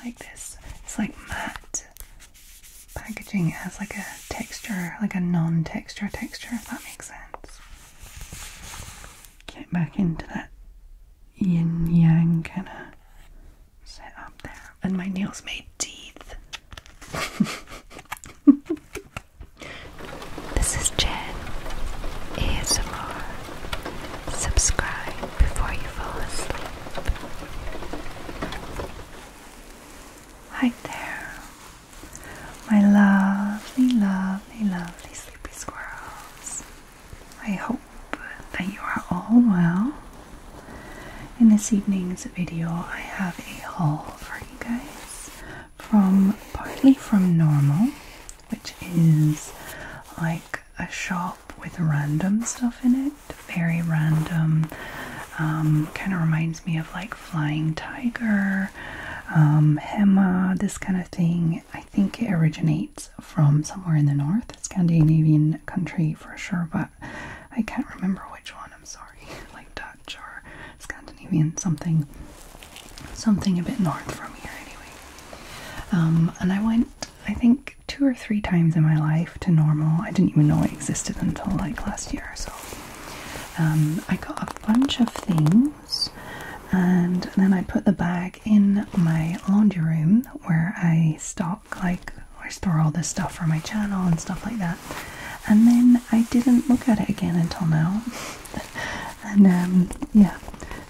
I like this. It's like matte packaging. It has like a texture, like a non-texture texture, if that makes sense. Get back into that yin-yang kind of set up there. And my nails made teeth. this is Jen ASMR. Subscribe before you fall asleep. Hi there, my lovely, lovely, lovely sleepy squirrels. I hope that you are all well. In this evening's video, I have a haul for you guys from partly from normal, which is like a shop with random stuff in it, very random. Um, kind of reminds me of like Flying Tiger, um, Hema, this kind of thing. I think it originates from somewhere in the north, Scandinavian country for sure, but I can't remember which one. I'm sorry, like Dutch or Scandinavian, something, something a bit north from here anyway. Um, and I went, I think, two or three times in my life to normal. I didn't even know it existed until like last year or so. Um, I got a bunch of things and then I put the bag in my laundry room where I stock like I store all this stuff for my channel and stuff like that. And then I didn't look at it again until now. and um, yeah.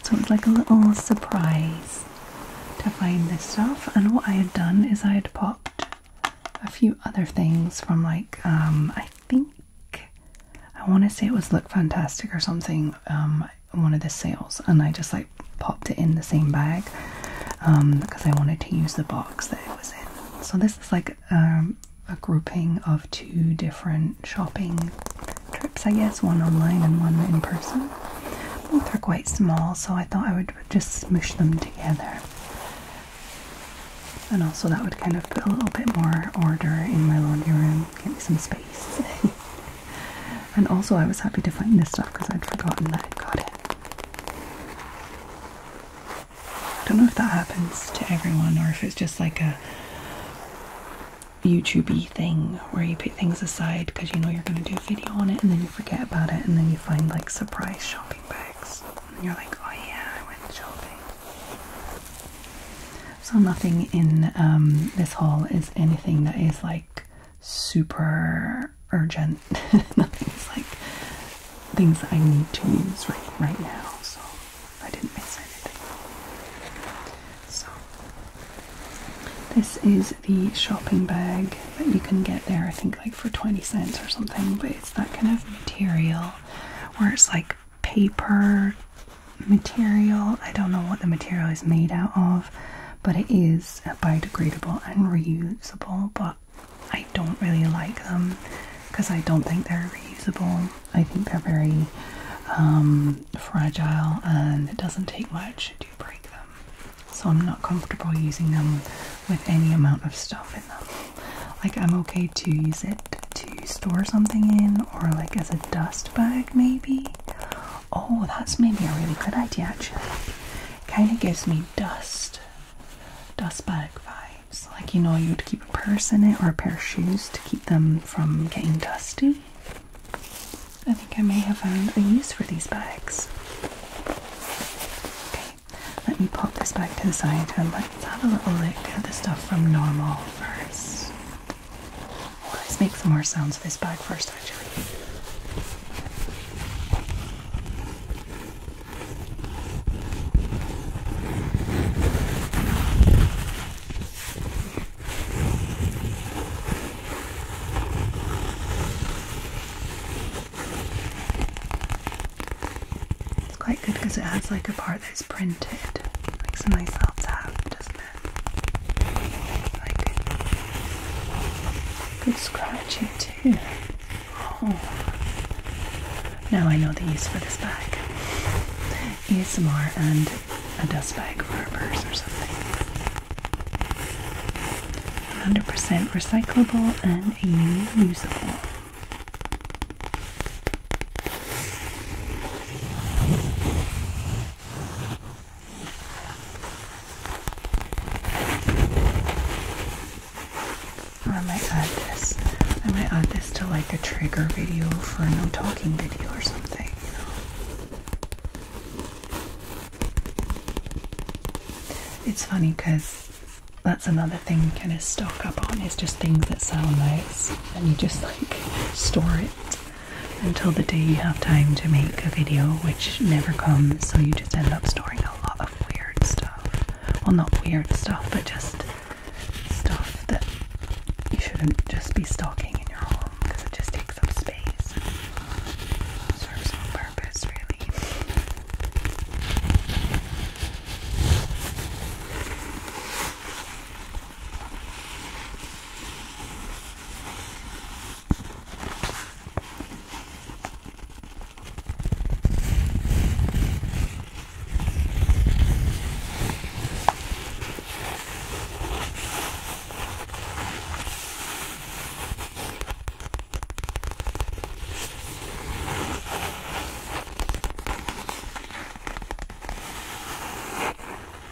So it's like a little surprise to find this stuff. And what I had done is I had popped a few other things from like um, I think I want to say it was Look Fantastic or something. Um, one of the sales, and I just like popped it in the same bag um, because I wanted to use the box that it was in. So this is like a grouping of two different shopping trips, I guess, one online and one in person. Both are quite small, so I thought I would just smoosh them together. And also, that would kind of put a little bit more order in my laundry room, give me some space. and also, I was happy to find this stuff because I'd forgotten that I would got it. I don't know if that happens to everyone or if it's just like a YouTubey thing where you put things aside because you know you're going to do a video on it and then you forget about it and then you find like surprise shopping bags and you're like, oh yeah, I went shopping. So nothing in um, this haul is anything that is like super urgent. nothing is like things that I need to use right, right now. So I didn't miss anything. So this is the shopping bag that you can get there, I think, like for 20 cents or something. But it's that kind of material where it's like paper material. I don't know what the material is made out of, but it is biodegradable and reusable. But I don't really like them because I don't think they're reusable. I think they're very um, fragile and it doesn't take much to break them so I'm not comfortable using them with any amount of stuff in them. Like, I'm okay to use it to store something in, or like as a dust bag, maybe. Oh, that's maybe a really good idea, actually. Kind of gives me dust, dust bag vibes. Like, you know, you would keep a purse in it or a pair of shoes to keep them from getting dusty. I think I may have found um, a use for these bags. Okay, let me pop this back to the side and let's have a little look at the stuff from normal first. Let's make some more sounds with this bag first, actually. It's quite good because it has like a part that's printed, like some nice little tab, doesn't it? Like good scratching too. Oh. Now I know the use for this bag. ASMR and a dust bag for a purse or something. 100% recyclable and reusable. I might add this. I might add this to like a trigger video for a no talking video or something. You know? It's funny because that's another thing you kind of stock up on is just things that sound nice and you just like store it until the day you have time to make a video which never comes so you just end up storing a lot of weird stuff. Well not weird stuff but just stuff that you shouldn't just be stocking in your home because it just takes up space purpose, really.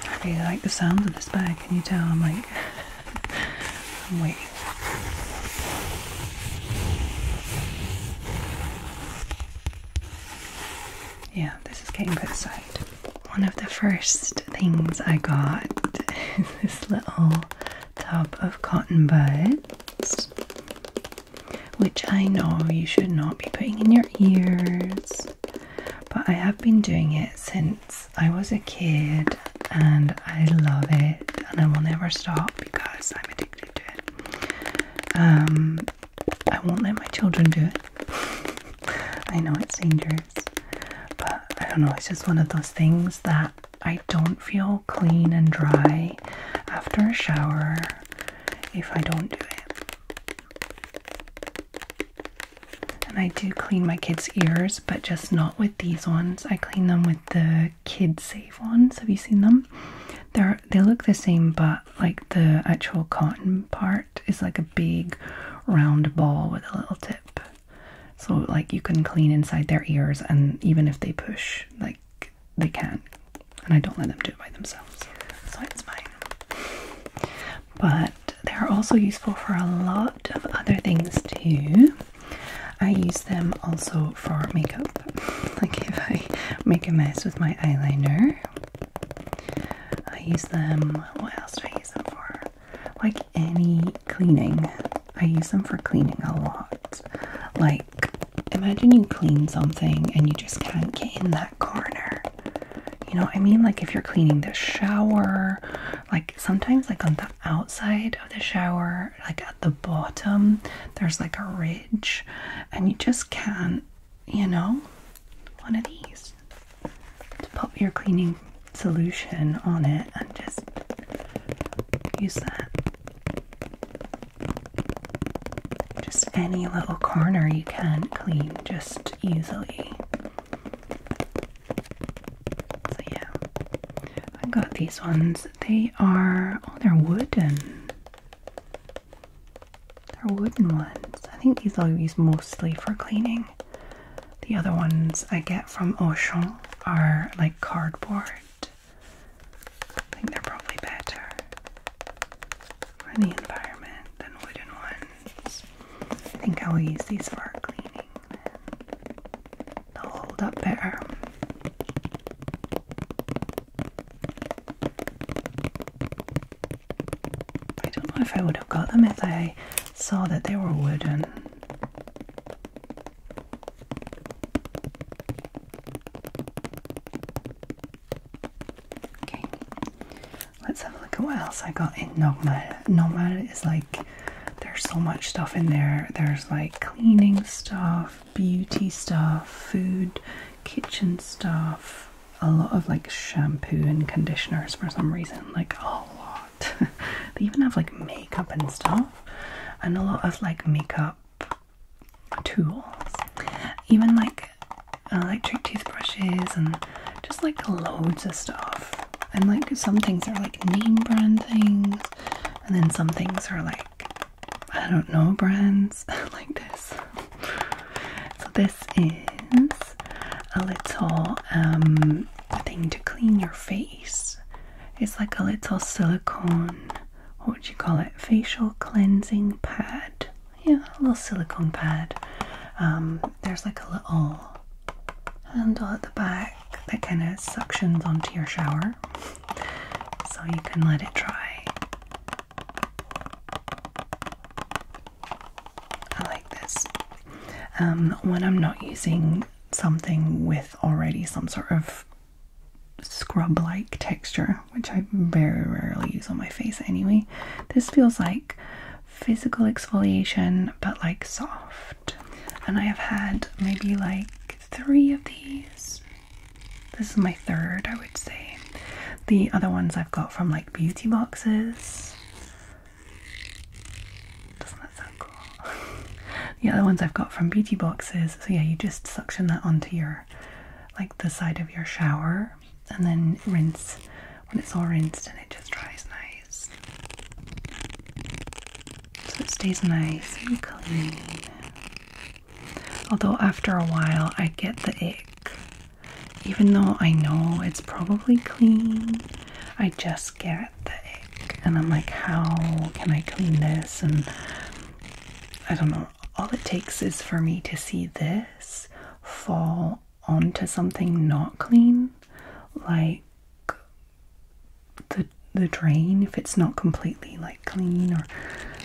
I really like the sound of this bag. Can you tell? I'm like, I'm waiting. Yeah, this is getting good side. One of the first things I got is this little tub of cotton buds, which I know you should not be putting in your ears, but I have been doing it since I was a kid and I love it and I will never stop because I'm addicted to it. Um, I won't let my children do it. I know it's dangerous, but I don't know, it's just one of those things that I don't feel clean and dry after a shower if I don't do it. And I do clean my kids' ears, but just not with these ones. I clean them with the Kid Safe ones. Have you seen them? They're they look the same, but like the actual cotton part is like a big round ball with a little tip so like you can clean inside their ears and even if they push like they can and I don't let them do it by themselves so it's fine but they are also useful for a lot of other things too I use them also for makeup like if I make a mess with my eyeliner I use them what else do I use them for like any cleaning. I use them for cleaning a lot. Like, imagine you clean something and you just can't get in that corner. You know I mean? Like, if you're cleaning the shower, like sometimes, like on the outside of the shower, like at the bottom, there's like a ridge, and you just can't, you know, one of these to pop your cleaning solution on it and just use that. Just any little corner you can clean just easily. So, yeah, I got these ones. They are, oh, they're wooden. They're wooden ones. I think these are used mostly for cleaning. The other ones I get from Auchan are like cardboard. I think they're probably better for the environment than wooden ones. I think I'll use these for our cleaning They'll hold up better. I don't know if I would have got them if I saw that they were wooden. Okay, let's have a look at what else I got in Nomad. Nomad is like there's so much stuff in there. There's like cleaning stuff, beauty stuff, food, kitchen stuff, a lot of like shampoo and conditioners for some reason, like a lot. they even have like makeup and stuff, and a lot of like makeup tools, even like electric toothbrushes, and just like loads of stuff. And like some things are like name brand things, and then some things are like I don't know brands like this. So this is a little um, thing to clean your face it's like a little silicone, what do you call it? Facial cleansing pad. Yeah, a little silicone pad. Um, there's like a little handle at the back that kind of suctions onto your shower so you can let it dry. I like this. Um, when I'm not using something with already some sort of scrub-like texture, which I very rarely use on my face anyway. This feels like physical exfoliation, but like soft. And I have had maybe like three of these. This is my third, I would say. The other ones I've got from like beauty boxes. Doesn't that sound cool? the other ones I've got from beauty boxes. So yeah, you just suction that onto your like the side of your shower and then rinse when it's all rinsed and it just dries nice. So it stays nice and clean. Although after a while I get the itch. Even though I know it's probably clean, I just get and I'm like, how can I clean this? And I don't know. All it takes is for me to see this fall onto something not clean, like the the drain if it's not completely like clean or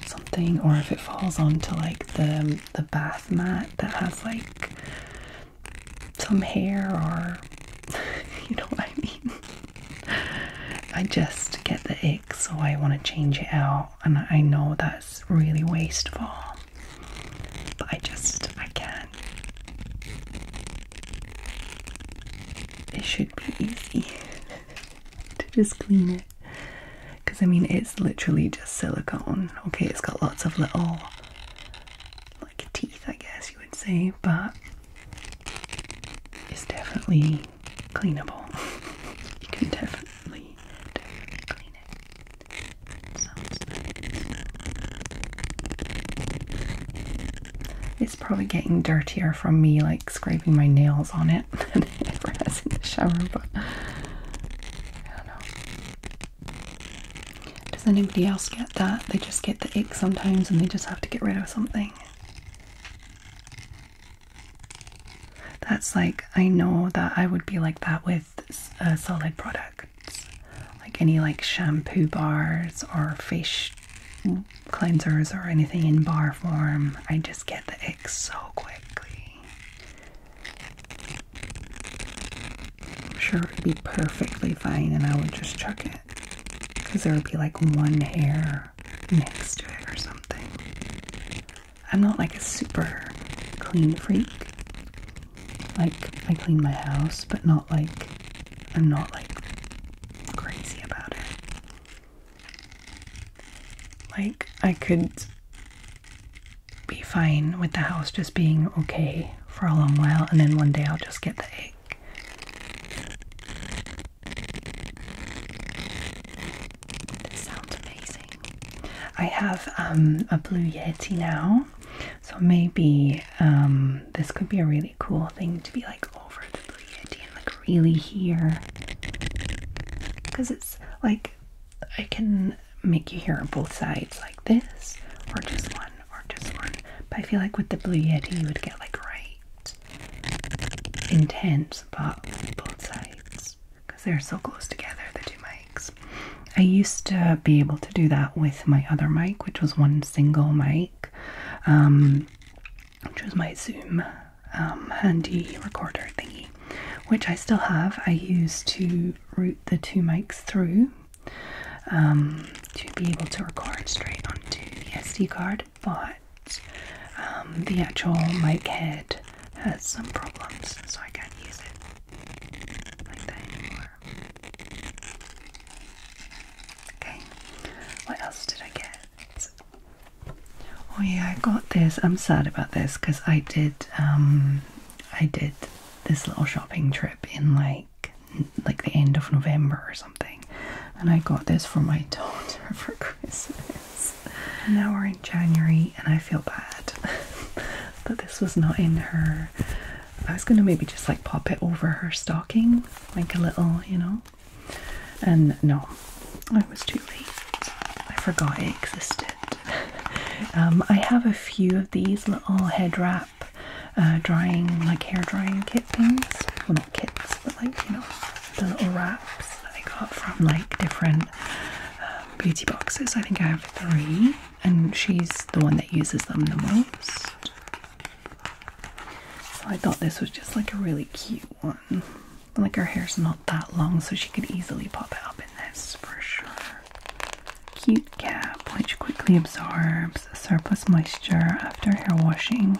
something, or if it falls onto like the the bath mat that has like some hair or you know what I mean. I just get the ick, so I want to change it out, and I know that's really wasteful, but I just I can't. It should be easy to just clean it, because I mean it's literally just silicone. Okay, it's got lots of little like teeth, I guess you would say, but it's definitely cleanable. you can definitely, clean it. It's probably getting dirtier from me like scraping my nails on it it has in the shower, but I don't know. Does anybody else get that? They just get the itch sometimes and they just have to get rid of something. That's like, I know that I would be like that with uh, solid products, like any like shampoo bars or face cleansers or anything in bar form. I just get the ick so quickly. I'm sure it would be perfectly fine and I would just chuck it because there would be like one hair next to it or something. I'm not like a super clean freak. Like I clean my house, but not like I'm not like crazy about it. Like I could be fine with the house just being okay for a long while and then one day I'll just get the this sounds amazing. I have um, a blue yeti now, so maybe um, this could be a really cool thing to be like over the blue yeti and like really hear because it's like I can make you hear both sides like this or just one or just one. But I feel like with the blue yeti you would get like right intense pop both sides because they're so close together, the two mics. I used to be able to do that with my other mic, which was one single mic, um, which was my Zoom um, handy recorder thingy, which I still have. I used to route the two mics through um, to be able to record straight onto the SD card but um, the actual mic head has some problems, so I can't use it Okay, what else did I get? Oh yeah, I got this. I'm sad about this because I did, um, I did this little shopping trip in like like the end of November or something. And I got this for my daughter for Christmas. now we're in January, and I feel bad that this was not in her. I was gonna maybe just like pop it over her stocking, like a little, you know. And no, I was too late. I forgot it existed. Um, I have a few of these little head wrap, uh, drying like hair drying kit things kits but like, you know, the little wraps that I got from like different um, beauty boxes. I think I have three, and she's the one that uses them the most. So I thought this was just like a really cute one. Like her hair's not that long, so she could easily pop it up in this for sure. Cute cap, which quickly absorbs surplus moisture after hair washing.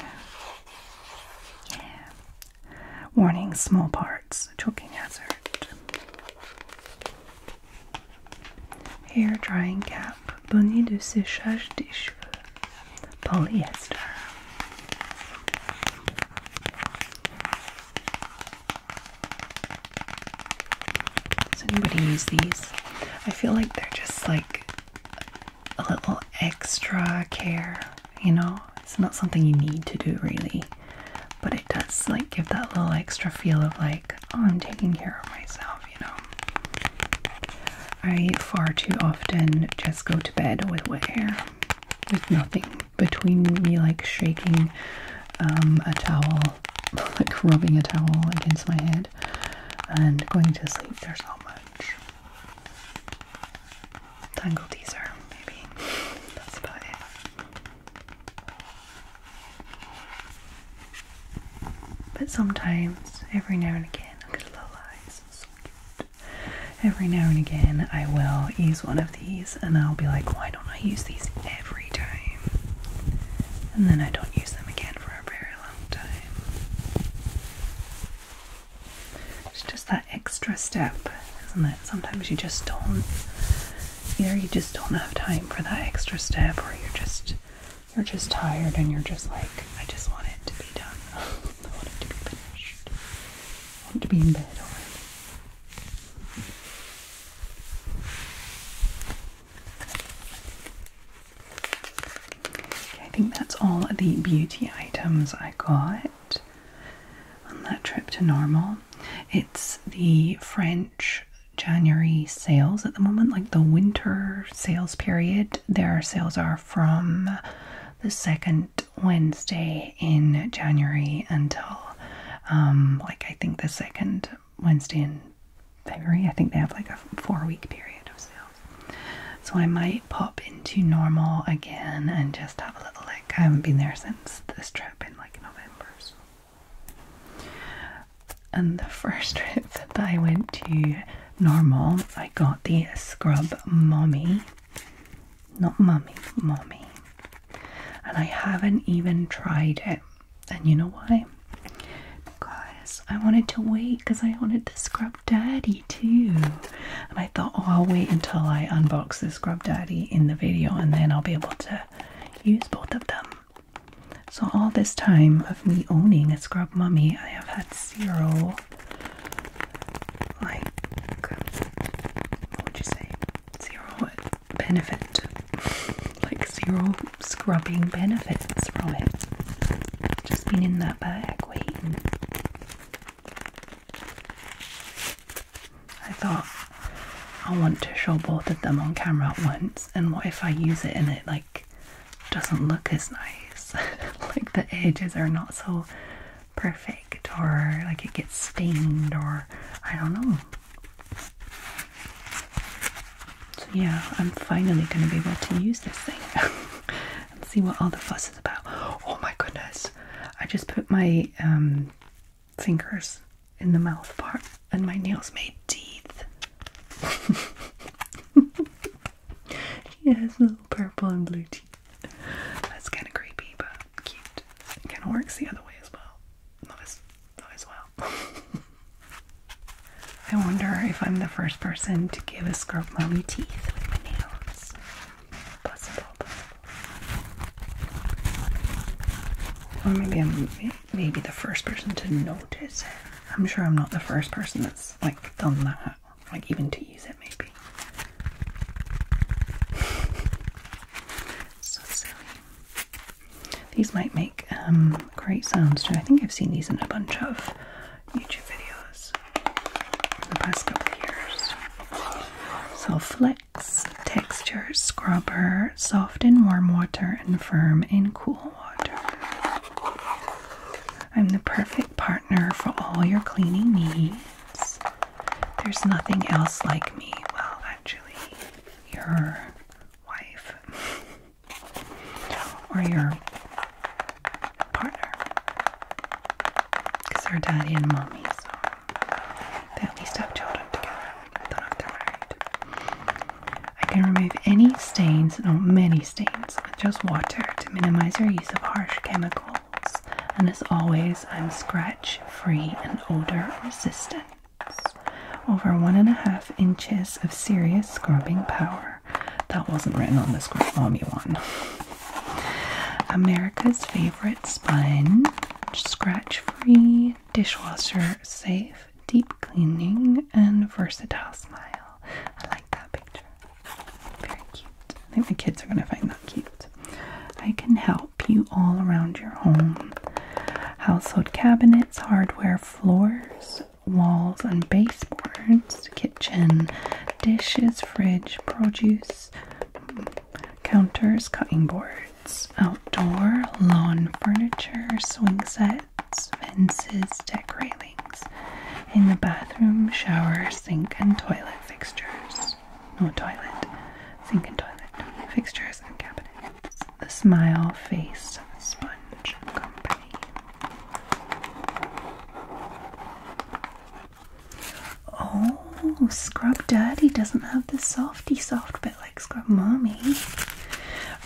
Warning small parts, choking hazard. Hair drying cap, bonnet de séchage des cheveux, polyester. Does anybody use these? I feel like they're just like a little extra care, you know? It's not something you need to do really, but it does like give that little extra feel of like, oh, I'm taking care of myself, you know? I far too often just go to bed with wet hair, with nothing between me like shaking um, a towel, like rubbing a towel against my head, and going to sleep. There's not much. Tangle teaser, maybe. That's about it. But sometimes, every now and again, Every now and again, I will use one of these and I'll be like, why don't I use these every time? And then I don't use them again for a very long time. It's just that extra step, isn't it? Sometimes you just don't either you just don't have time for that extra step or you're just you're just tired and you're just like, I just want it to be done. I want it to be finished. I want to be in bed already. I think that's all the beauty items I got on that trip to Normal. It's the French January sales at the moment, like the winter sales period. Their sales are from the second Wednesday in January until um, like I think the second Wednesday in February. I think they have like a four week period of sales. So I might pop into normal again and just have a little lick. I haven't been there since this trip in like November. And the first trip that I went to normal, I got the Scrub Mommy. Not Mummy, Mommy. And I haven't even tried it. And you know why? Because I wanted to wait because I wanted the scrub daddy too. And I thought, oh, I'll wait until I unbox the scrub daddy in the video and then I'll be able to use both of them. So, all this time of me owning a scrub mummy, I have had zero, like, what would you say? Zero benefit. like, zero scrubbing benefits from it. Just been in that bag waiting. I thought I want to show both of them on camera at once and what if I use it and it like doesn't look as nice like the edges are not so perfect or like it gets stained or I don't know so yeah I'm finally gonna be able to use this thing and see what all the fuss is about. Oh my goodness, I just put my um, fingers in the mouth part and my nails made teeth. she has little purple and blue teeth. That's kind of creepy, but cute. It kind of works the other way as well. as, as well. I wonder if I'm the first person to give a scrub mommy teeth with my nails. Or maybe I'm maybe the first person to notice it. I'm sure I'm not the first person that's like done that, like even to use it maybe. so silly. These might make um, great sounds too. I think I've seen these in a bunch of YouTube videos the past couple years. So Flex texture scrubber, soft in warm water and firm in cool water. I'm the perfect partner for all your cleaning needs. There's nothing else like me. Well, actually, your wife or your partner. Because our daddy and mommy, so they at least have children together. I don't know if I can remove any stains, no, many stains, with just water to minimize your use of harsh chemicals. And as always, I'm scratch free and odor resistant. Over one and a half inches of serious scrubbing power. That wasn't written on this scrub mommy one. America's favorite sponge, scratch free, dishwasher safe, deep cleaning, and versatile smile. I like that picture. Very cute. I think my kids are going to find that cute. I can help you all around your home. Household cabinets, hardware, floors, walls, and baseboards, kitchen, dishes, fridge, produce, counters, cutting boards, outdoor, lawn furniture, swing sets, fences, deck railings. In the bathroom, shower, sink, and toilet fixtures. No toilet, sink and toilet fixtures and cabinets. The smile face sponge company. Oh, Scrub Daddy doesn't have the softy soft bit like Scrub Mommy.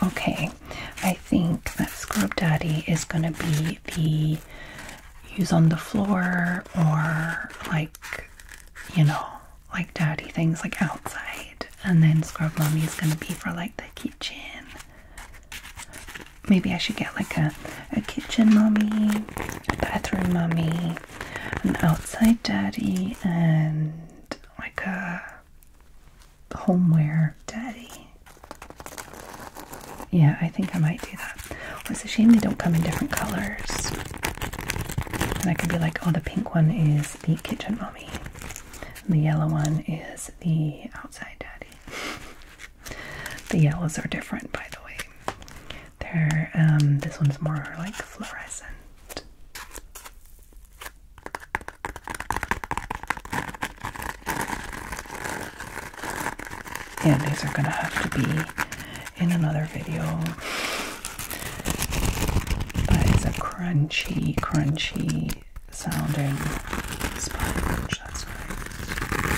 Okay, I think that Scrub Daddy is gonna be the use on the floor or like, you know, like daddy things like outside. And then Scrub Mommy is gonna be for like the kitchen. Maybe I should get like a, a kitchen mommy a bathroom mommy, an outside daddy, and like a homeware daddy. Yeah, I think I might do that. it's a shame they don't come in different colors. And I could be like, oh, the pink one is the kitchen mommy, the yellow one is the outside daddy. The yellows are different, by the way. they um, this one's more like fluorescent. Yeah, these are gonna have to be in another video. That is a crunchy, crunchy sounding sponge. That's right.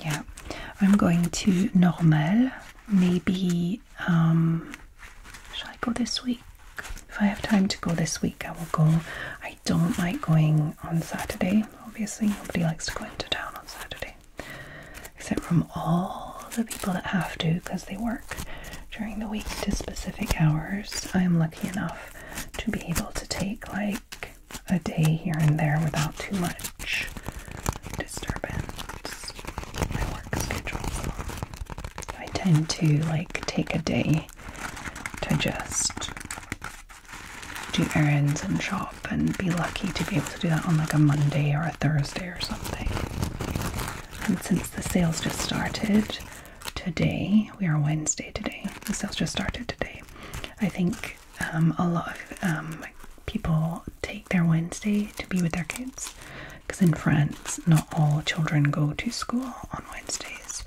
Yeah, I'm going to normal. Maybe, um, shall I go this week? If I have time to go this week, I will go. I don't like going on Saturday. Obviously, nobody likes to go into town on Saturday, except from all the people that have to because they work during the week to specific hours. I am lucky enough to be able to take like a day here and there without too much disturbance in my work schedule. I tend to like take a day to just do errands and shop and be lucky to be able to do that on like a Monday or a Thursday or something. And since the sales just started, today. We are Wednesday today. The sales just started today. I think um, a lot of um, people take their Wednesday to be with their kids because in France, not all children go to school on Wednesdays.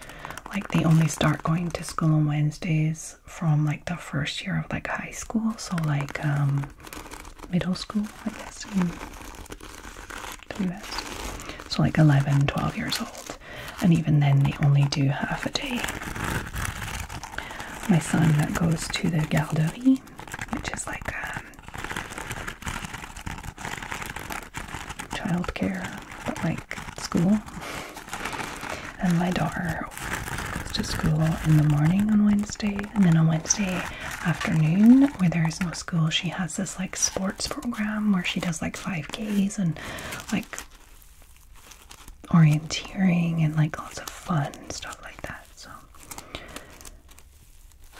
Like they only start going to school on Wednesdays from like the first year of like high school, so like um, middle school, I guess. Mm. So like 11, 12 years old. And even then they only do half a day. My son that goes to the garderie, which is like um, childcare, but like school. And my daughter goes to school in the morning on Wednesday, and then on Wednesday afternoon, where there is no school, she has this like sports program where she does like 5Ks and like orienteering and like lots of fun stuff like that. So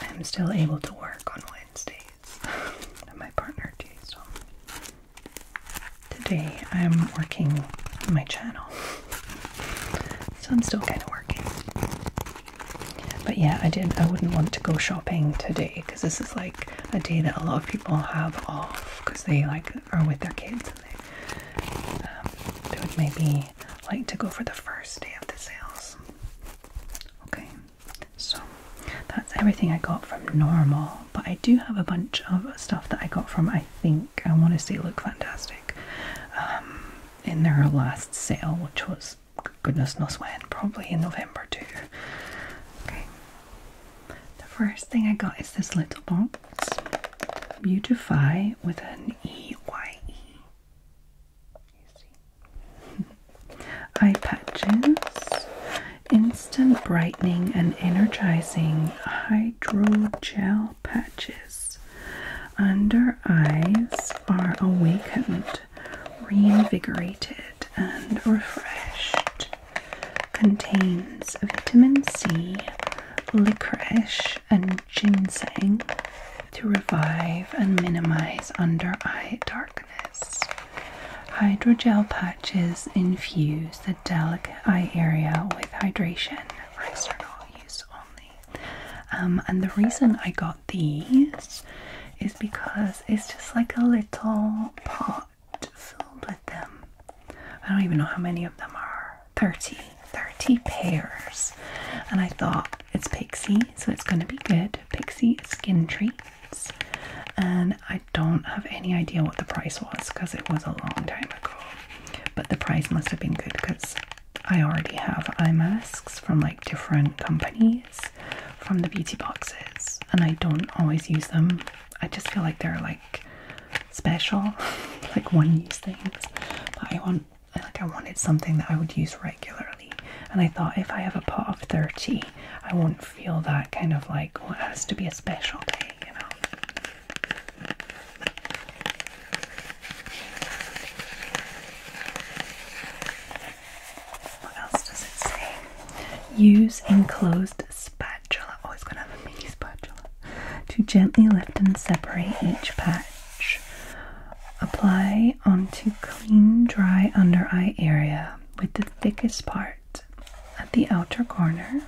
I am still able to work on Wednesdays my partner too. today I'm working my channel. So I'm still kind of working. But yeah, I did. not I wouldn't want to go shopping today because this is like a day that a lot of people have off because they like are with their kids and um, they, would maybe like to go for the first day of the sales. Okay, so that's everything I got from Normal, but I do have a bunch of stuff that I got from I think I want to say look fantastic um, in their last sale, which was goodness knows when, probably in November too. Okay, the first thing I got is this little box. Beautify with an E Y E. Eye patches. Instant brightening and energizing hydrogel patches. Under eyes are awakened, reinvigorated, and refreshed contains vitamin C, licorice, and ginseng to revive and minimize under eye darkness. Hydrogel patches infuse the delicate eye area with hydration for external use only. Um, and the reason I got these is because it's just like a little pot filled with them. I don't even know how many of them are 30, 30 pairs. And I thought it's Pixie, so it's going to be good. Pixie skin treats. And I don't have any idea what the price was because it was a long time ago. But the price must have been good because I already have eye masks from like different companies from the beauty boxes, and I don't always use them. I just feel like they're like special, like one-use things. But I want, like, I wanted something that I would use regularly, and I thought if I have a pot of thirty, I won't feel that kind of like it has to be a special thing, you know. What else does it say? Use enclosed spatula, always oh, gonna have a mini spatula, to gently lift and separate each patch. Apply onto clean, dry under eye area with the thickest part at the outer corner.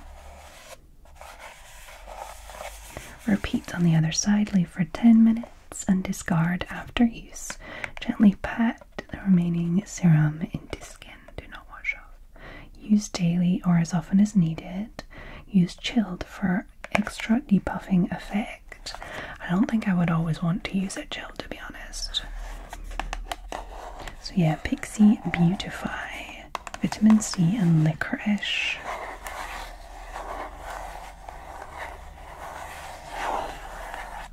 Repeat on the other side, leave for 10 minutes and discard after use. Gently pat the remaining serum into skin. Do not wash off. Use daily or as often as needed. Use chilled for extra depuffing effect. I don't think I would always want to use it gel, to be honest. So yeah, Pixie Beautify, Vitamin C and Licorice.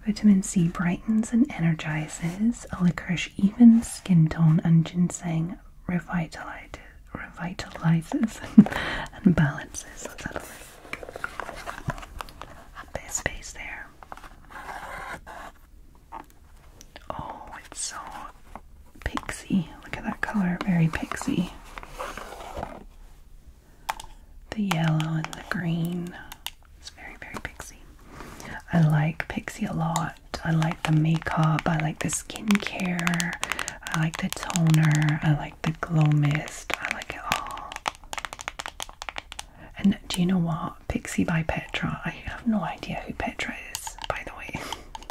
Vitamin C brightens and energizes. A licorice even skin tone, and ginseng revitalizes, revitalizes and balances. Let's space there. Oh, it's so pixie. Look at that color, very pixie. The yellow and the green. It's very, very pixie. I like pixie a lot. I like the makeup. I like the skincare. I like the toner. I like the glow mist. I like it all. And do you know what? Pixie by Petra. I have no idea who Petra is, by the way.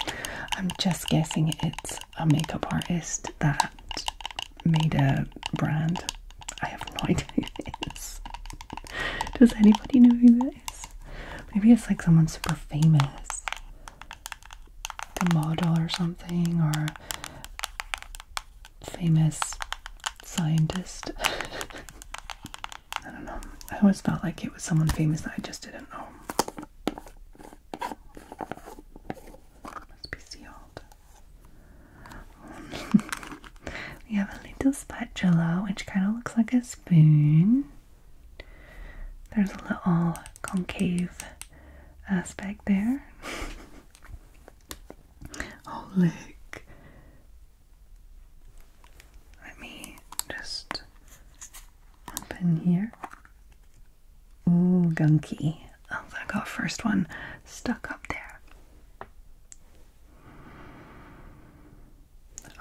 I'm just guessing it's a makeup artist that made a brand. I have no idea who it is. Does anybody know who that is? Maybe it's like someone super famous. Like a model or something, or famous scientist. I don't know. I always felt like it was someone famous that I just didn't know. Must be sealed. We have a little spatula which kind of looks like a spoon. There's a little concave aspect there. oh, look. Let me just open here. Ooh, gunky. Oh, I got first one stuck up there.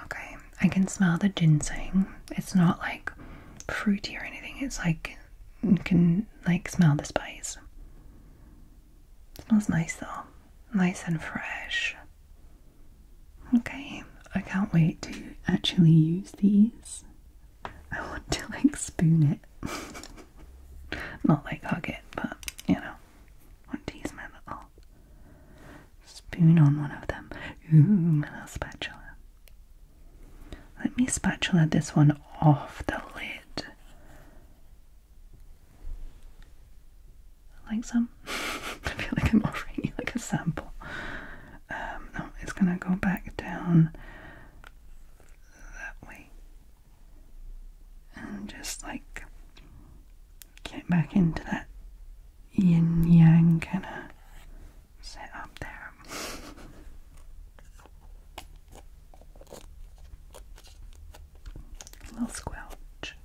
Okay, I can smell the ginseng. It's not like fruity or anything. It's like you can like smell the spice. smells nice though. Nice and fresh. Okay, I can't wait to actually use these. I want to like spoon it. Not like hug it, but you know. want to use my little Spoon on one of them. Ooh, my little spatula. Let me spatula this one off the lid. Like some? I feel like I'm offering you like a sample. Um, no, it's gonna go back down that way. And just like get back into that yin yang kind of set up there. little squelch.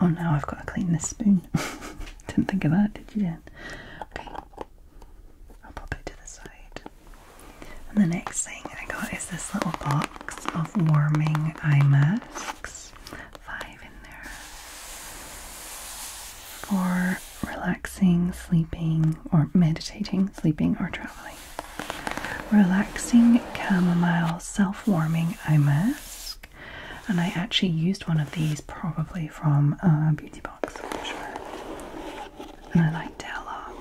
Oh no, I've got to clean this spoon. Didn't think of that, did you? Dan? Okay, I'll pop it to the side. And the next thing I got is this little box of warming eye masks five in there for relaxing, sleeping, or meditating, sleeping, or traveling. Relaxing chamomile self warming eye mask, and I actually used one of these probably from a uh, beauty box and I liked it a lot.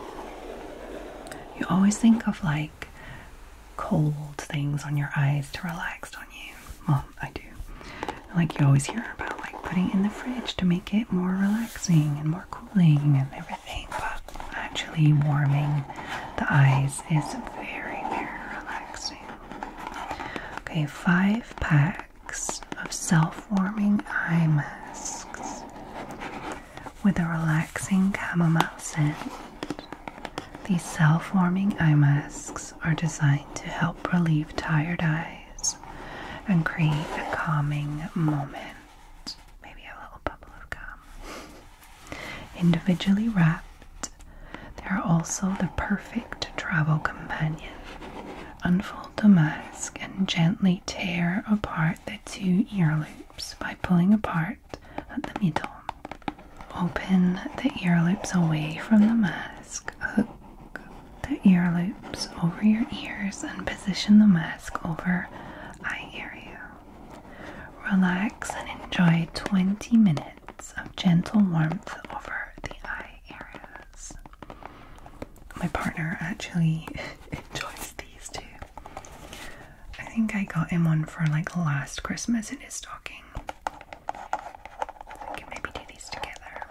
You always think of like cold things on your eyes to relax, on you? Well, I do. Like you always hear about like putting in the fridge to make it more relaxing and more cooling and everything, but actually warming the eyes is very, very relaxing. Okay, five packs of self-warming eye masks with a relaxing chamomile scent these self-warming eye masks are designed to help relieve tired eyes and create a calming moment. Maybe a little bubble of calm. Individually wrapped, they are also the perfect travel companion. Unfold the mask and gently tear apart the two ear loops by pulling apart at the middle. Open the ear loops away from the mask. Hook the ear loops over your ears and position the mask over eye area. Relax and enjoy 20 minutes of gentle warmth over the eye areas. My partner actually enjoys these too. I think I got him one for like last Christmas in his stocking. We can maybe do these together.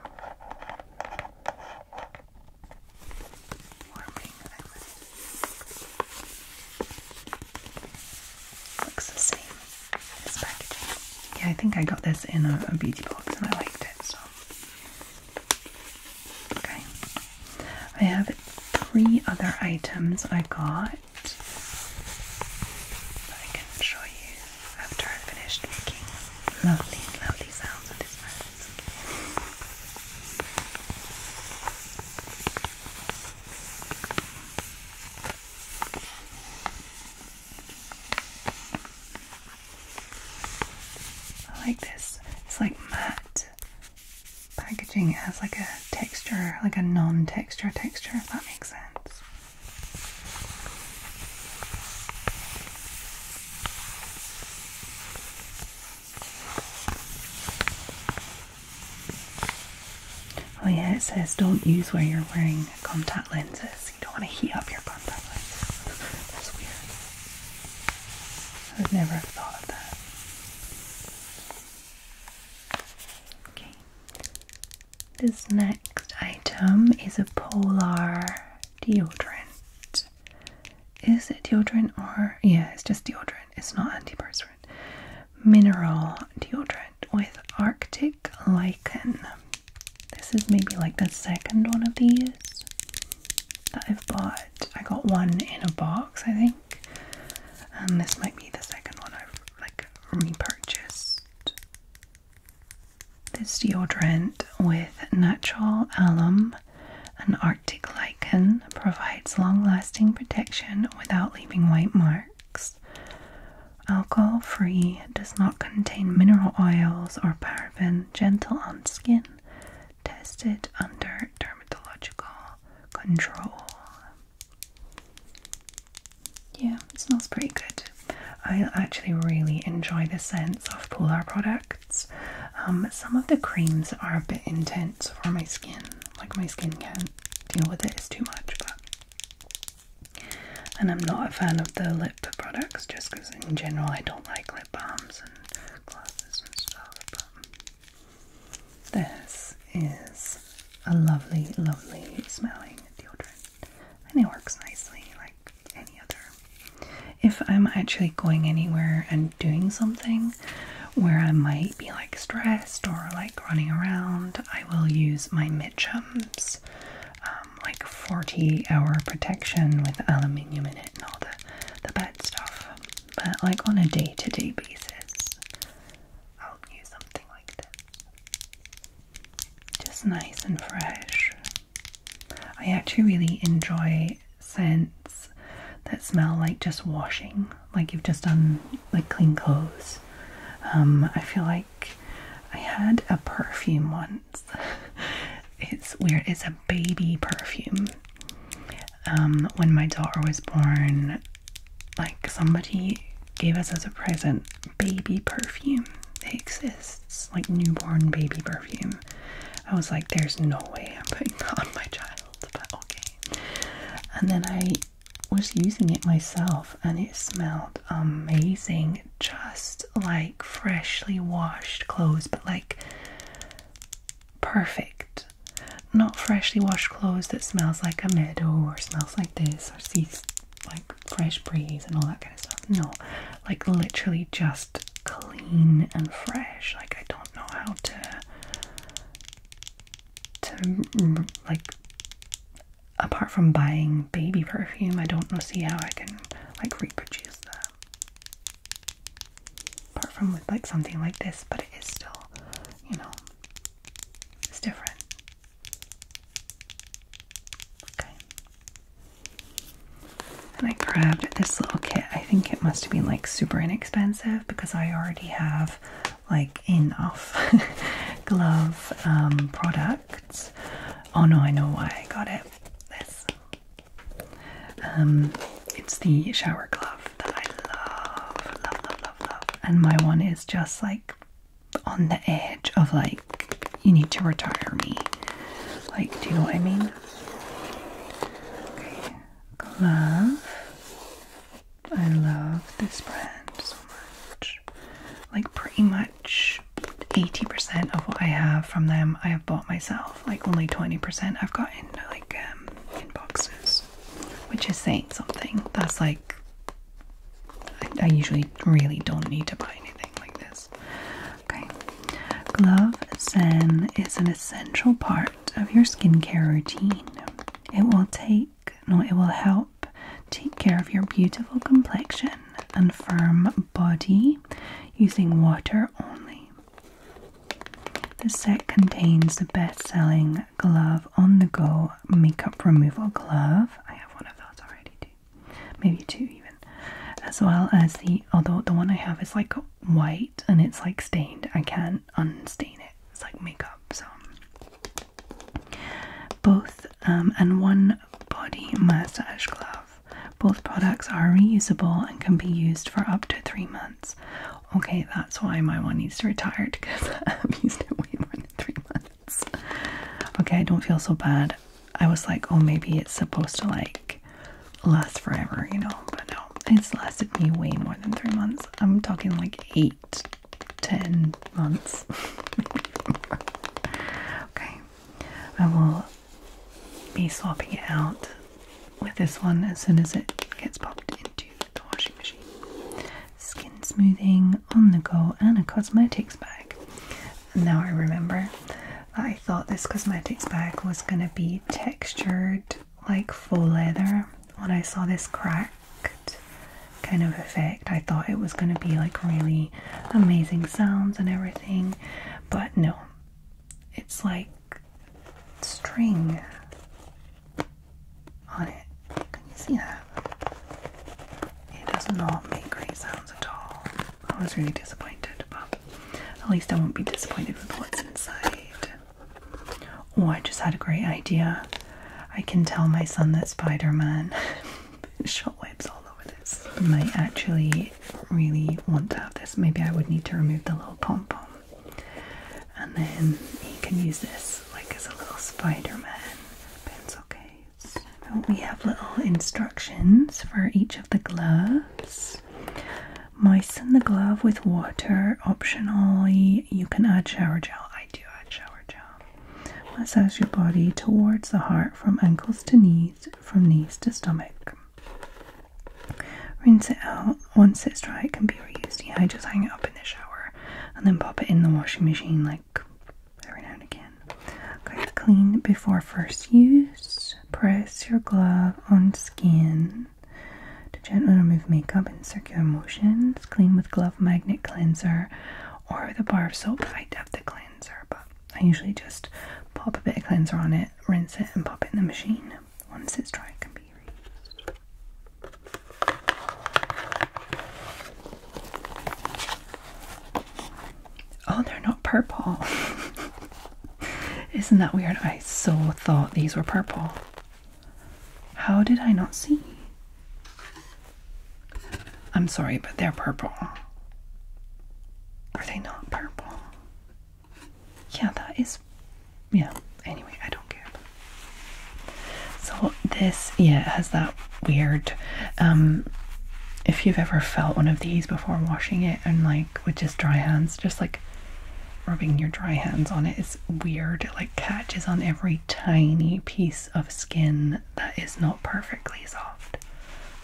Looks the same as packaging. Yeah, I think I got this in a, a beauty box and I liked it, so. Okay. I have three other items I got that I can show you after I've finished making lovely, lovely sounds with this mask. I like this. It's like matte packaging. It has like a texture, like a non-texture texture, if that makes sense. Oh, yeah, it says don't use while you're wearing contact lenses. You don't want to heat up your contact lenses. That's weird. I would never have thought of that. Okay, this next item is a polar deodorant. Is it deodorant or yeah, it's just deodorant, it's not antiperspirant. Mineral deodorant with arctic lichen. This is maybe like the second one of these that I've bought. I got one in a box, I think. And this might be the second one I've like repurchased this deodorant with natural alum and arctic lichen provides long-lasting protection without leaving white marks alcohol-free does not contain mineral oils or paraben gentle on skin tested under dermatological control yeah, it smells pretty good. I actually really enjoy the scents of Polar products. Um, some of the creams are a bit intense for my skin, like my skin can't deal with it, it's too much. But and I'm not a fan of the lip products just because, in general, I don't like lip balms and glosses and stuff. But this is a lovely, lovely smelling deodorant. And it works nicely like any other. If I'm actually going anywhere and doing something where I might be like stressed or like running around, I will use my Mitchums. Um, like 40 hour protection with aluminium in it and all the, the bad stuff. But like on a day to day basis, I'll use something like this just nice and fresh. I actually really enjoy scents that smell like just washing, like you've just done like clean clothes. Um, I feel like I had a perfume once. it's weird. It's a baby perfume. Um, when my daughter was born, like somebody gave us as a present baby perfume. It exists, like newborn baby perfume. I was like, there's no way I'm putting that on my child, but okay. And then I was using it myself and it smelled amazing. Just like freshly washed clothes, but like perfect. Not freshly washed clothes that smells like a meadow or smells like this or sees like fresh breeze and all that kind of stuff. No, like literally just clean and fresh. Like I don't know how to to mm, like apart from buying baby perfume, I don't see how I can like reproduce that. Apart from with like something like this, but it is still, you know, it's different. Okay. And I grabbed this little kit. I think it must be like super inexpensive because I already have like enough glove um, products. Oh no, I know why I got it. This. Um, it's the shower glove that I love, love, love, love, love. And my one is just like on the edge of like, you need to retire me. Like, do you know what I mean? Okay, I love this brand so much. Like, pretty much 80% of what I have from them I have bought myself. Like, only 20% I've got like um, in boxes, which is saying something. That's like I, usually really don't need to buy anything like this. Okay. Glove Zen is an essential part of your skincare routine. It will take, no, it will help take care of your beautiful complexion and firm body using water only. The set contains the best selling Glove on the Go makeup removal glove. I have one of those already too. Maybe two even. As well as the although the one I have is like white and it's like stained. I can't unstain it. It's like makeup, so both um, and one body massage glove. Both products are reusable and can be used for up to three months. Okay, that's why my one needs to retire because I've used it way more than three months. Okay, I don't feel so bad. I was like, oh, maybe it's supposed to like last forever, you know, but no, it's lasted me way more than three months. I'm talking like eight, ten months. okay, I will be swapping it out with this one as soon as it gets popped into the washing machine skin smoothing on the go and a cosmetics bag. Now I remember I thought this cosmetics bag was going to be textured like faux leather. When I saw this cracked kind of effect, I thought it was going to be like really amazing sounds and everything, but no, it's like string on it. Can you see that? It does not make great sounds at all. I was really disappointed, but at least I won't be disappointed with what's inside. Oh, I just had a great idea. I can tell my son that Spider Man shotwebs all over this. I might actually really want to have this. Maybe I would need to remove the little pom pom. And then he can use this like as a little Spider Man pencil case we have little instructions for each of the gloves. Moisten the glove with water. Optionally, you can add shower gel. I do add shower gel. Massage your body towards the heart from ankles to knees, from knees to stomach. Rinse it out. Once it's dry, it can be reused. Yeah, I just hang it up in the shower and then pop it in the washing machine like every now and again. clean before first use. Press your glove on skin to gently remove makeup in circular motions. Clean with glove magnet cleanser or the bar of soap. I have the cleanser, but I usually just pop a bit of cleanser on it, rinse it, and pop it in the machine. Once it's dry, it can be reused. Oh, they're not purple. Isn't that weird? I so thought these were purple. How did I not see? I'm sorry, but they're purple. Are they not purple? Yeah, that is. Yeah, anyway, I don't care. So, this, yeah, has that weird. Um, if you've ever felt one of these before washing it and like with just dry hands, just like rubbing your dry hands on it is weird. It like catches on every tiny piece of skin that is not perfectly soft,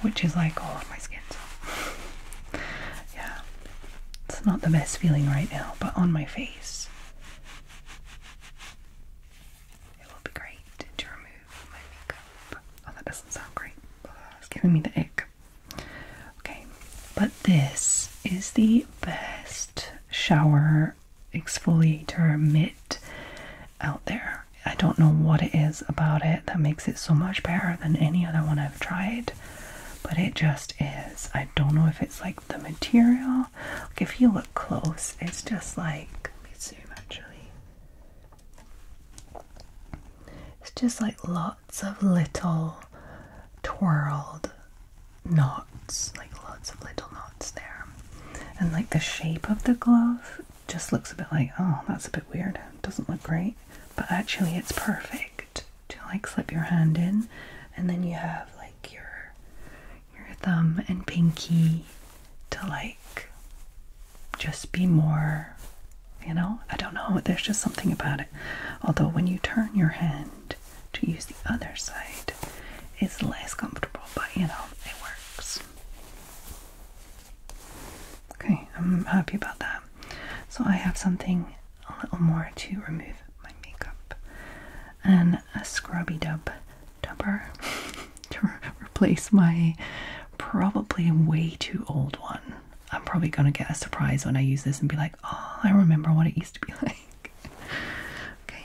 which is like all of my skin. So yeah, it's not the best feeling right now, but on my face. It will be great to remove. Oh, that doesn't sound great. It's giving me the ick. Okay, but this is the best shower exfoliator mitt out there. I don't know what it is about it that makes it so much better than any other one I've tried, but it just is. I don't know if it's like the material. Like if you look close, it's just like let me zoom actually. It's just like lots of little twirled knots, like lots of little knots there. And like the shape of the glove just looks a bit like, oh, that's a bit weird. Doesn't look great. But actually it's perfect to like slip your hand in and then you have like your your thumb and pinky to like just be more, you know, I don't know, there's just something about it. Although when you turn your hand to use the other side, it's less comfortable, but you know, it works. Okay, I'm happy about that. So I have something a little more to remove my makeup and a scrubby dub to replace my probably way too old one. I'm probably gonna get a surprise when I use this and be like, oh, I remember what it used to be like. okay.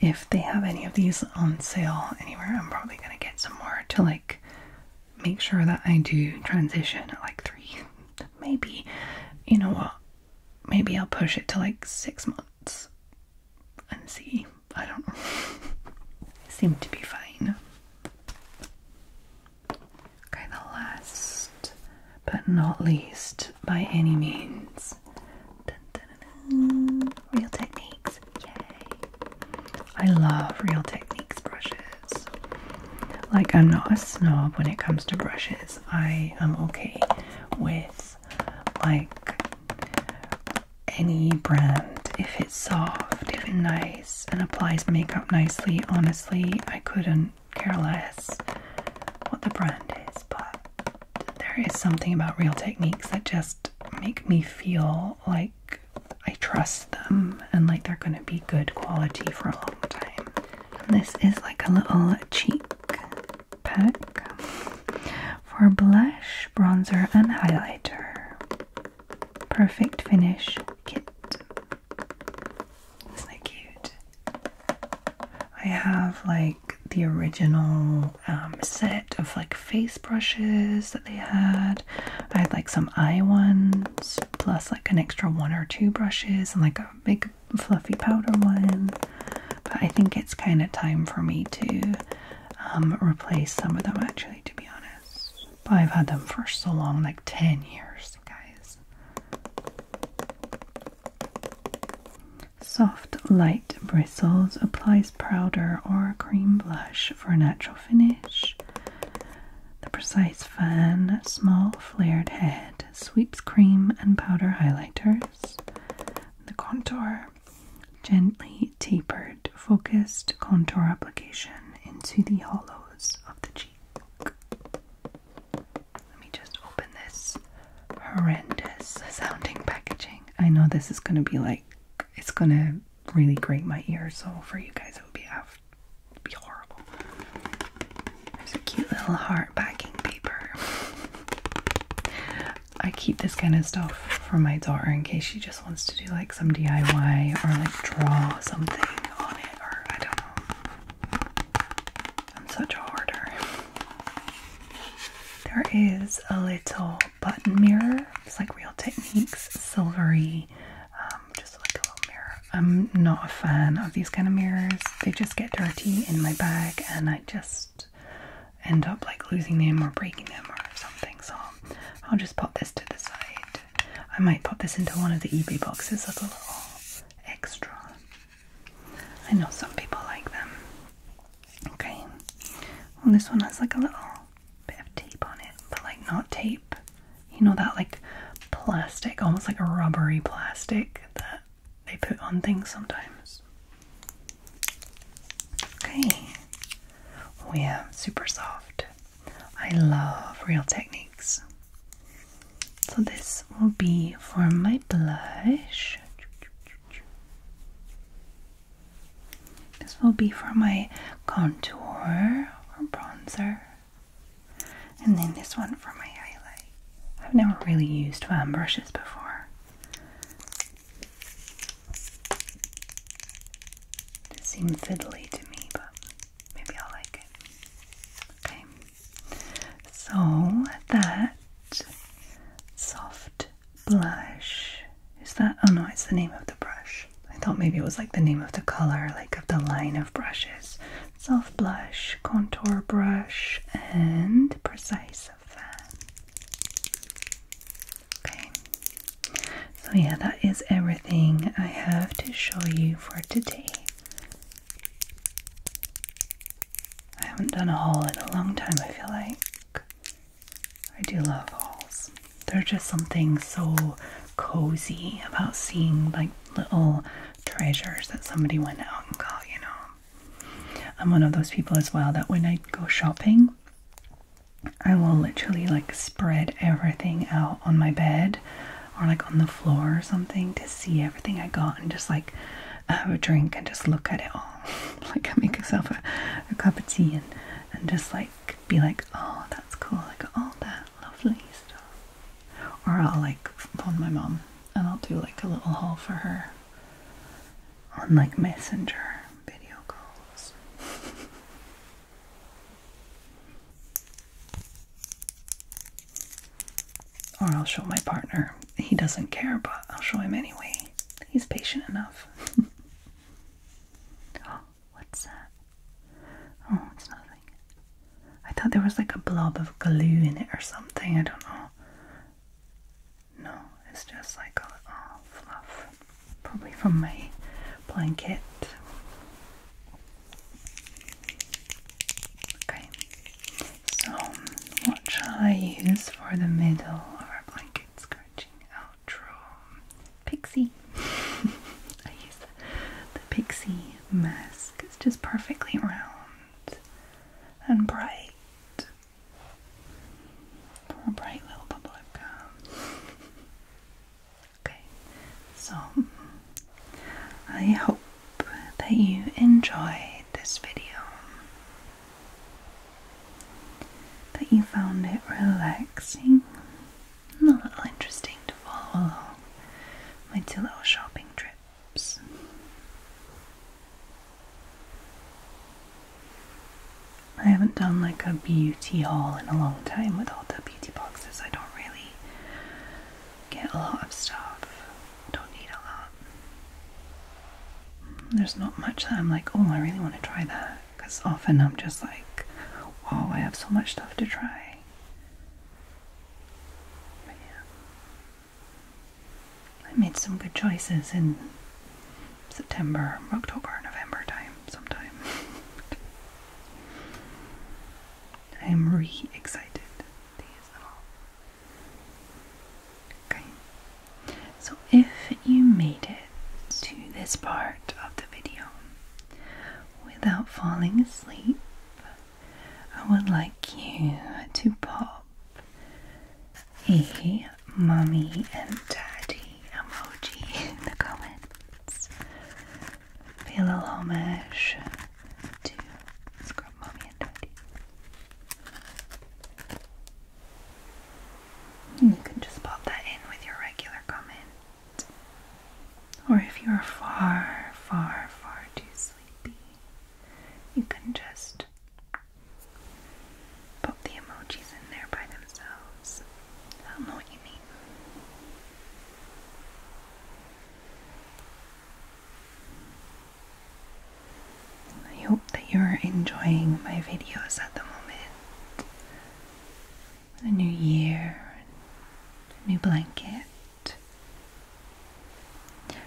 If they have any of these on sale anywhere, I'm probably gonna get some more to like make sure that I do transition at like three. Maybe, you know what? Maybe I'll push it to like six months nuts and see. I don't know. Seem to be fine. Okay, the last but not least by any means. Real techniques. Yay. I love real techniques brushes. Like I'm not a snob when it comes to brushes. I am okay with like any brand. If it's soft, if it's nice, and applies makeup nicely, honestly, I couldn't care less what the brand is, but there is something about real techniques that just make me feel like I trust them and like they're gonna be good quality for a long time. And this is like a little cheap pack for blush, bronzer, and highlighter. Perfect finish kit. Isn't that cute? I have like the original um, set of like face brushes that they had. I had like some eye ones, plus like an extra one or two brushes, and like a big fluffy powder one. But I think it's kind of time for me to um, replace some of them, actually, to be honest. But I've had them for so long like 10 years, guys. Soft, light bristles applies powder or cream blush for a natural finish. The precise fan, small flared head, sweeps cream and powder highlighters. The contour Gently tapered focused contour application into the hollows of the cheek. Let me just open this horrendous sounding packaging. I know this is going to be like, it's going to really grate my ears, so for you guys, it would be, be horrible. There's a cute little heart backing paper. I keep this kind of stuff for my daughter in case she just wants to do like some DIY or like draw something on it or I don't know. I'm such a hoarder. There is a little button mirror. It's like Real Techniques, silvery, um, just like a little mirror. I'm not a fan of these kind of mirrors. They just get dirty in my bag and I just end up like losing them or breaking them or something. So I'll just pop this to the side. I might pop this into one of the eBay boxes as a little extra. I know some people like them. Okay. Well, this one has like a little bit of tape on it, but like not tape. You know that like plastic, almost like a rubbery plastic that they put on things sometimes. Okay, we have super soft. I love real techniques. So this will be for my blush. This will be for my contour or bronzer. And then this one for my highlight. I've never really used fan brushes before. It seemed fiddly to me, but maybe I'll like it. Okay. So that soft blush is that oh no, it's the name of the brush. I thought maybe it was like the name of the color, like of the line of brushes. Soft blush, contour brush, and precise fan. Okay, so yeah, that is everything I have to show you for today. I haven't done a haul in a long time, I feel like. I do love hauls. There's just something so cozy about seeing like little treasures that somebody went out and got, you know. I'm one of those people as well that when I go shopping, I will literally like spread everything out on my bed or like on the floor or something to see everything I got and just like have a drink and just look at it all. like I make myself a, cup of tea and, and just like be like, oh, that's cool. I got all that lovely stuff. Or I'll like phone my mom and I'll do like a little haul for her on like messenger video calls. Or I'll show my partner. He doesn't care, but I'll show him anyway. He's patient enough. Oh, what's that? Oh, it's nothing. I thought there was like a blob of glue in it or something. I don't know. No, it's just like all, fluff. Probably from my blanket. Okay, so what shall I use for the middle of our blanket scratching outro? Pixie. I use the pixie mask. It's just perfectly round and bright for a bright little bubble okay, so I hope that you enjoyed this video, that you found it relaxing and a little interesting to follow along my two little shopping trips. I haven't done like a beauty haul in a long time with all the beauty boxes. I don't really get a lot of stuff. Don't need a lot. There's not much that I'm like, oh, I really want to try that. Because often I'm just like, wow, I have so much stuff to try. yeah. I made some good choices in September, October, November time sometime. I am re excited Okay, so if you made it to this part of the video without falling asleep, I would like you to pop a mommy and daddy emoji in the comments. Feel a little homage to Scrub Mommy and Daddy. you can just pop that in with your regular comment. Or if you are far, far, far too sleepy, you can just Pop the emojis in there by themselves. I know what you mean. I hope that you're enjoying my videos at the moment. The new year, a new blanket.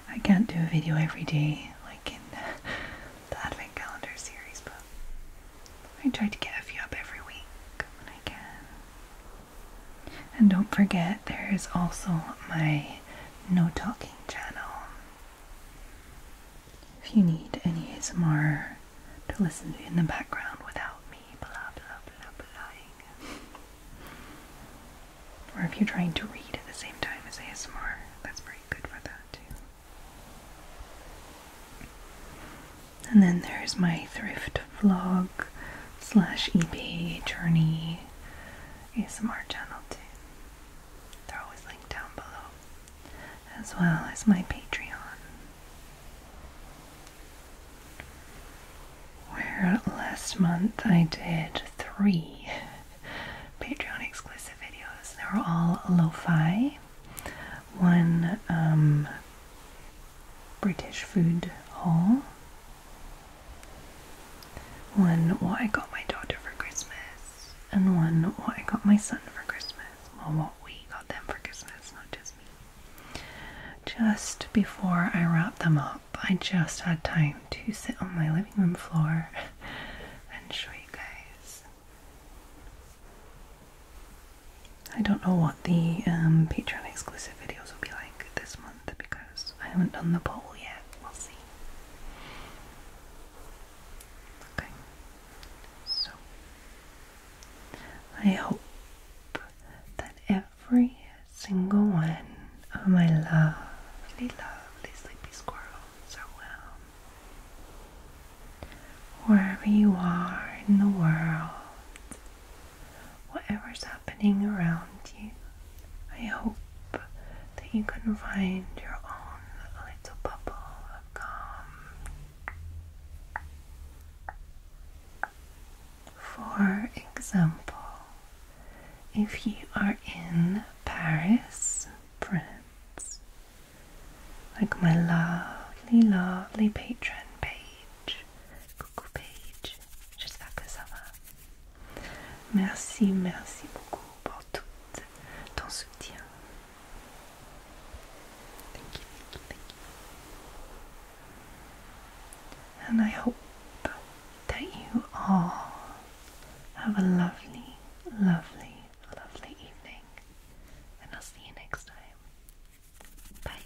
I can't do a video every day like in the Advent Calendar series, but I try to get a few up every week when I can. And don't forget, there is also my No Talking channel. If you need any ASMR to listen in the background without me, blah blah blah blah. Or if you're trying to read at the same time as ASMR, that's pretty good for that too. And then there's my thrift vlog slash eBay journey ASMR channel too. They're always linked down below. As well as my Patreon. Where last month I did three Patreon exclusive videos. They were all lo-fi one um, British food hall, one what I got my daughter for Christmas, and one what I got my son for Christmas. Well, what we got them for Christmas, not just me. Just before I wrapped them up, I just had time to sit on my living room floor and show you guys I don't know what the um, Patreon exclusive videos will be like this month because I haven't done the poll yet. We'll see. Okay. So, I hope that every single one of my lovely, lovely sleepy squirrels are well. Wherever you are in the world, whatever's happening around you, I hope that you can find your own little bubble of calm. For example, if you are in Paris, France, like my lovely, lovely patron page, coucou page, j'espère que ça va. Merci, merci beaucoup pour tout ton soutien. And I hope that you all have a lovely, lovely a lovely evening, and I'll see you next time. Bye.